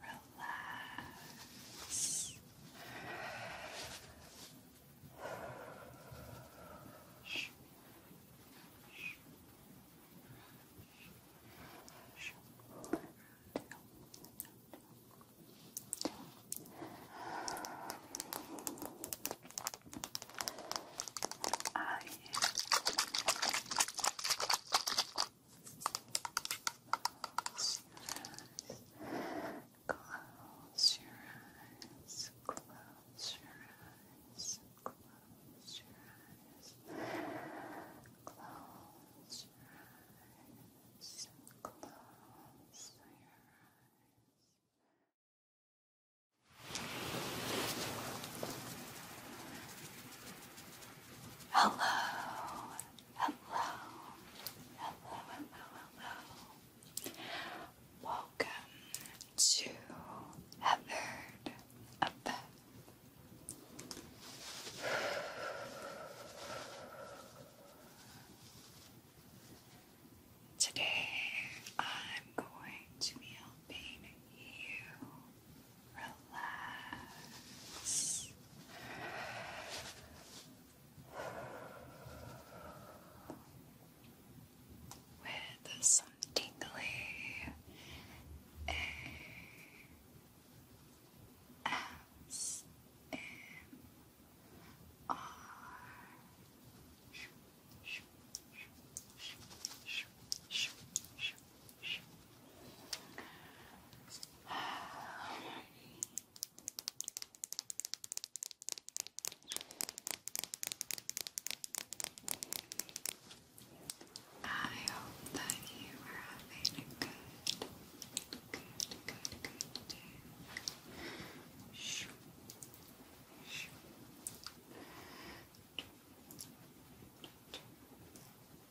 Relax. I Close your eyes. Close your eyes. Close your eyes. Close your eyes. Close your eyes. Close your eyes. Hello, Hello, hello, hello, hello. Welcome to Heathered Effect. Today I'm going to be helping you relax. With some tingly ASMR I hope that you are having a good, good, good, good day.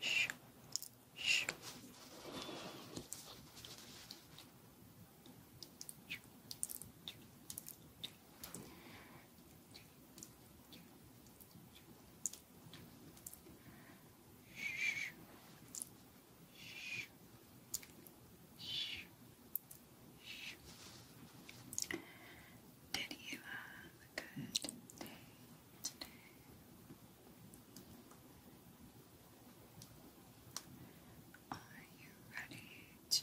Shh. Shh. Did you have a good day? today. Are you ready to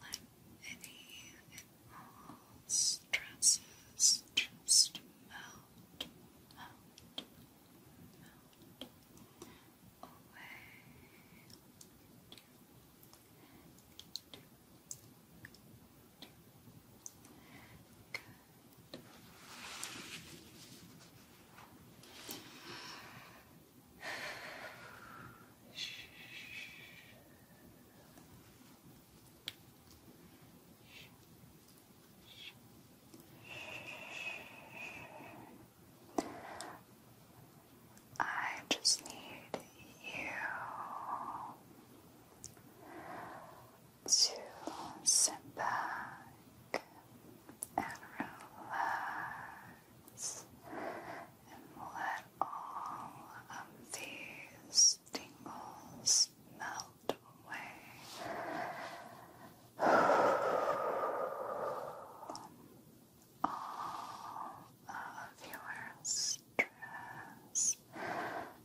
let any and stresses just melt away? Good. I just need you to sit back and relax and let all of these tingles melt away. all of your stress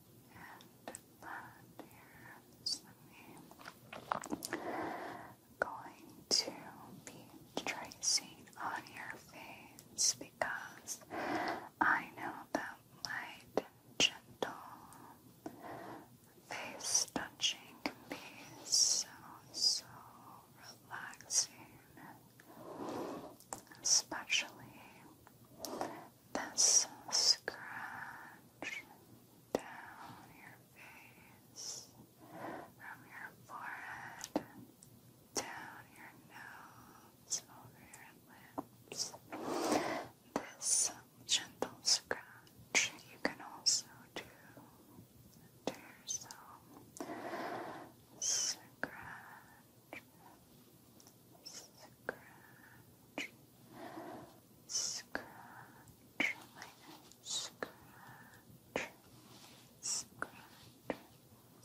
and that here's me going to be tracing on your face because I know that light gentle face touching can be so so relaxing especially this scratch down your face, from your forehead, down your nose, over your lips. This gentle scratch you can also do to yourself. Scratch scratch, scratch, scratch,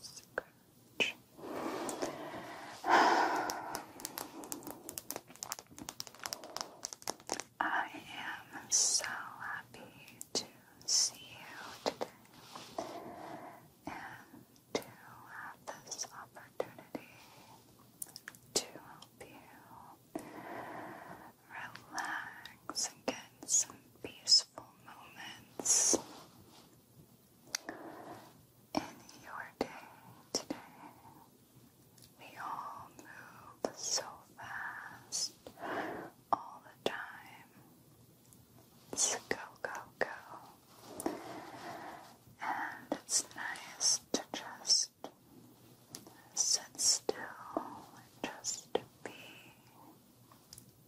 scratch, scratch. I am so happy to see you today and to have this opportunity to help you relax and get some peaceful moments in your day today. We all move so fast all the time. It's go, go, go. And it's nice to just sit still and just be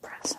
present.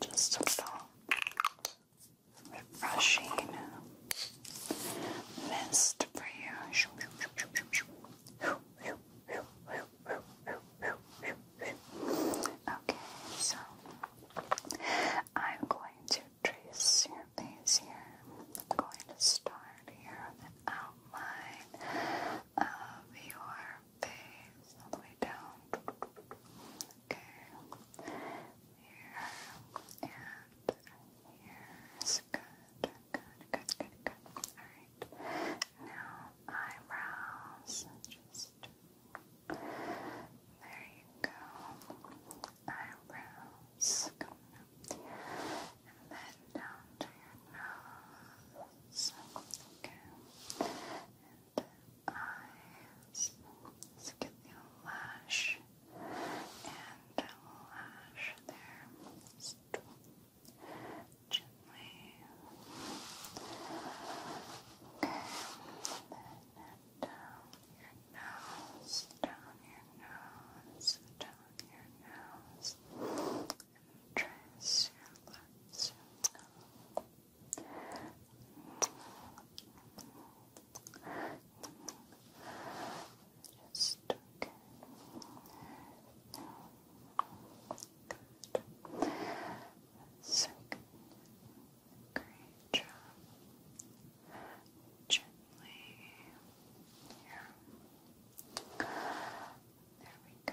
Just a little refreshing mist for you. Okay, so I'm going to trace your face here. I'm going to start here with an outline of your face all the way down. Okay, here and here's good. Good, good, good, good, good. Alright. Now eyebrows. Just there you go. Eyebrows And then down to your nose. Okay. And eyes. Let's get the lash and lash there. Gently. Okay, and down your nose, down your nose, down your nose, and trace your lips. Just okay. Good. Great job. Gently. There we go. And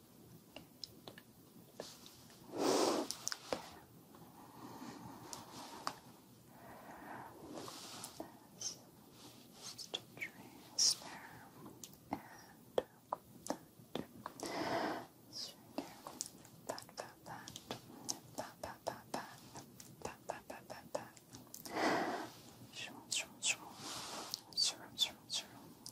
That's there and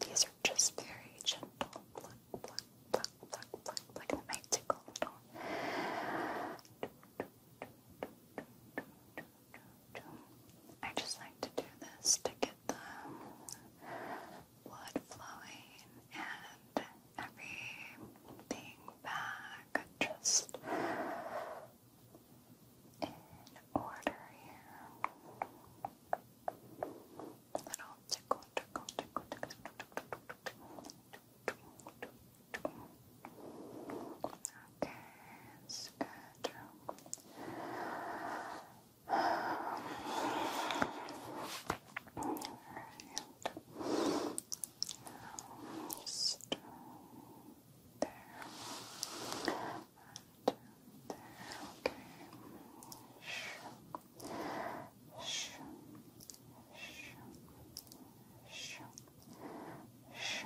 These are just very gentle. I just like to do this to get the blood flowing and everything back. Just in order here. Little tickle, tickle, tickle, tickle, Okay, it's good. All right. Just, um, there, and there, okay. Shh. Shh. Shh. Shh. Shh. Shh.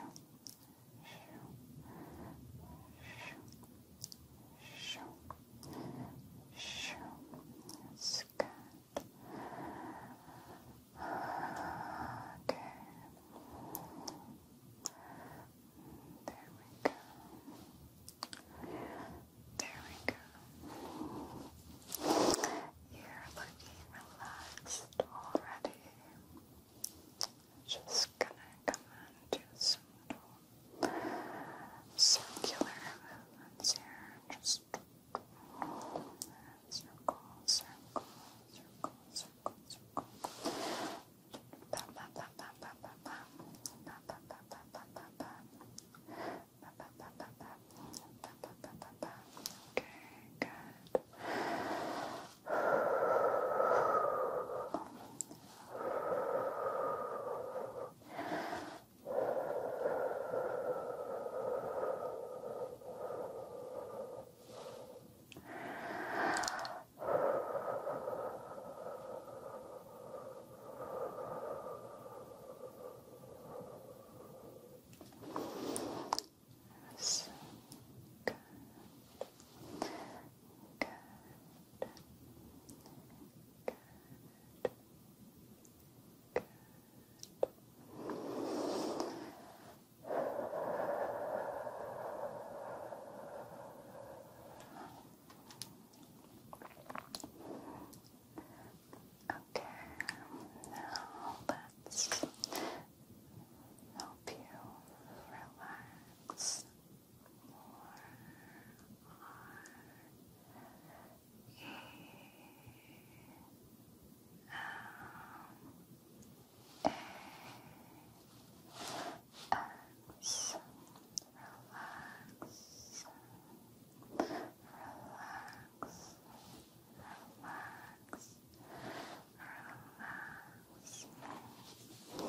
Shh. Shh. Shh. That's good. Okay. There we go. There we go. You're looking relaxed already. Just gonna come and do little circular movements here. Just circle, circle, circle, circle, circle, circle. Okay, Good. So good. Good. Good. Good. Okay, now let's help you relax more on E. M. Relax, relax, relax, relax, relax. Good.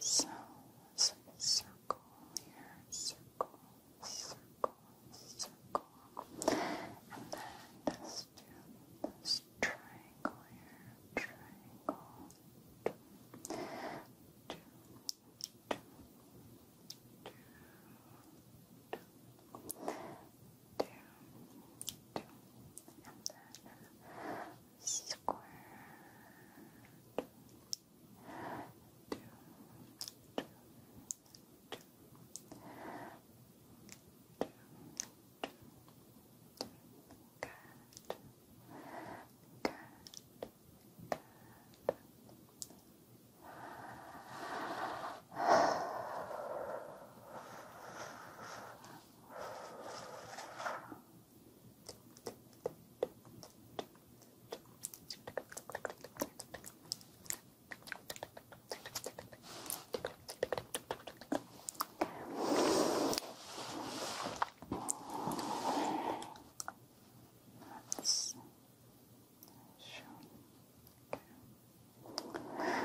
So it's like a circle here, circle, circle, circle. And then let do this triangle here, triangle. Two, two, two, two, two, two, two. And then Squirt. Two, two, two. Two, two, Good. Good. Let's show. Okay.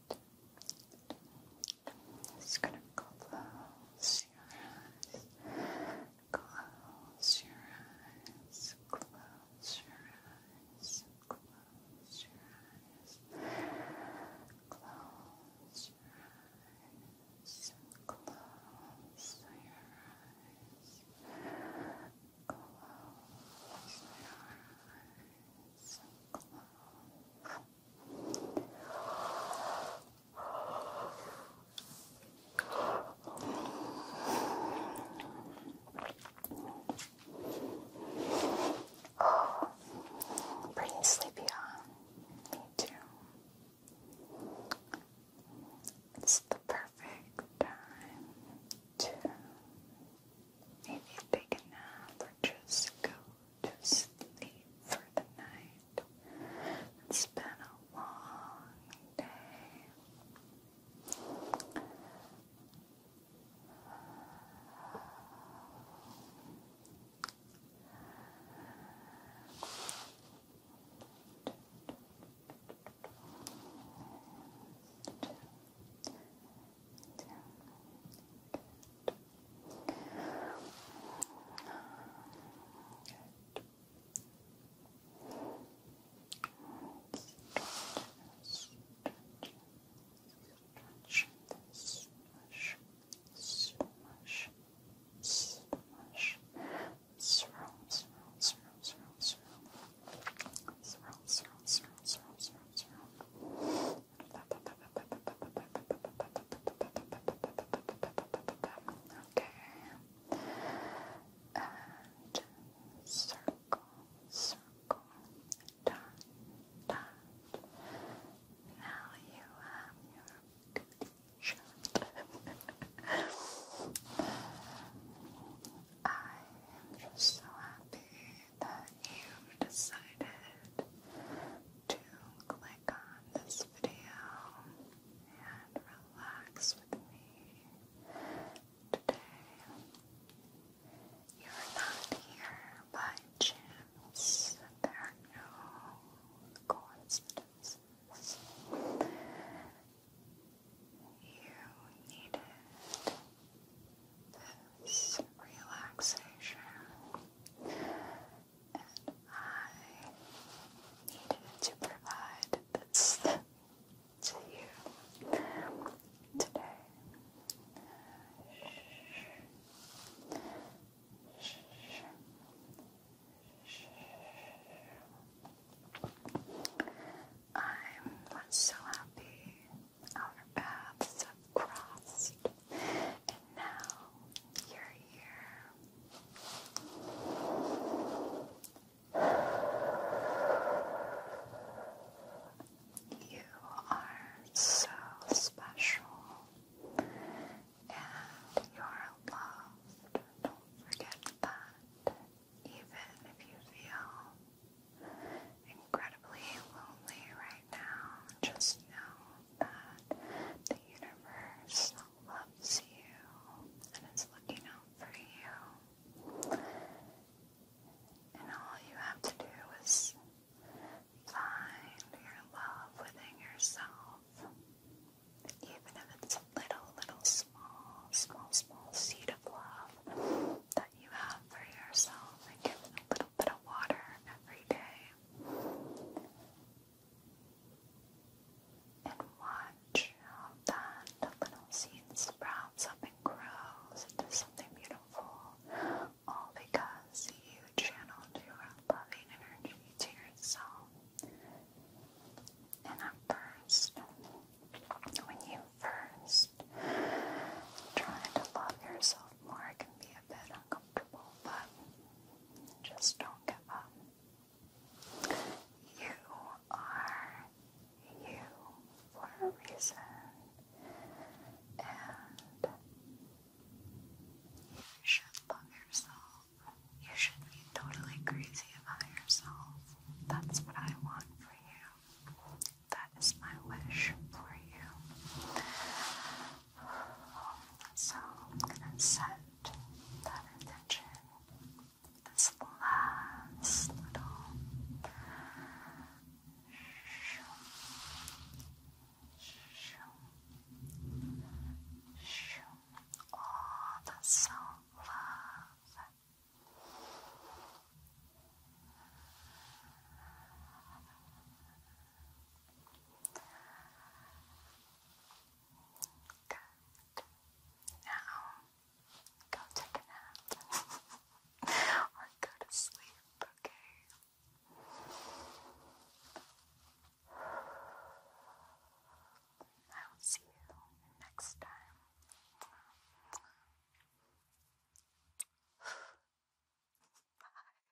Just gonna close your eyes. Close your eyes. Close your eyes. Close your eyes. Close your eyes. Close your eyes. Close your eyes. Pretty sleepy, huh? Me too. It's the perfect time to Maybe take a nap or just go to sleep for the night. It's been a long day. Just Swirl, swirl, swirl, swirl, swirl, swirl, swirl. Okay. circle, circle, dot, dot. Now you have your good I am just so happy that you've decided to click on this video and relax with me today. You're not here by chance. There are no coincidences. You needed this relaxation, and I needed to provide this to you today. I'm so happy outer paths crossed, and now you're here. You are so special, and you're loved. Don't forget that, even if you feel incredibly lonely right now, just know that the universe loves you and is looking out for you. And all you have to do is find your love within yourself, even if it's a little, little, small, small, small seed of love that you have for yourself, and give it a little little water every day. And watch that little seed sprouts up grows into something beautiful, all because you channeled your loving energy to yourself. And at first, when you first try to love yourself more, it can be bit uncomfortable, but just don't give up. You are you for a reason, and you should love yourself. You should be totally crazy about yourself. That's what I want for you. That is my wish for you. So I'm gonna set that intention this last little shoo, shoo, shoo. all the love Good. Now, go take a nap or go to sleep, okay? I will see you next time. Bye.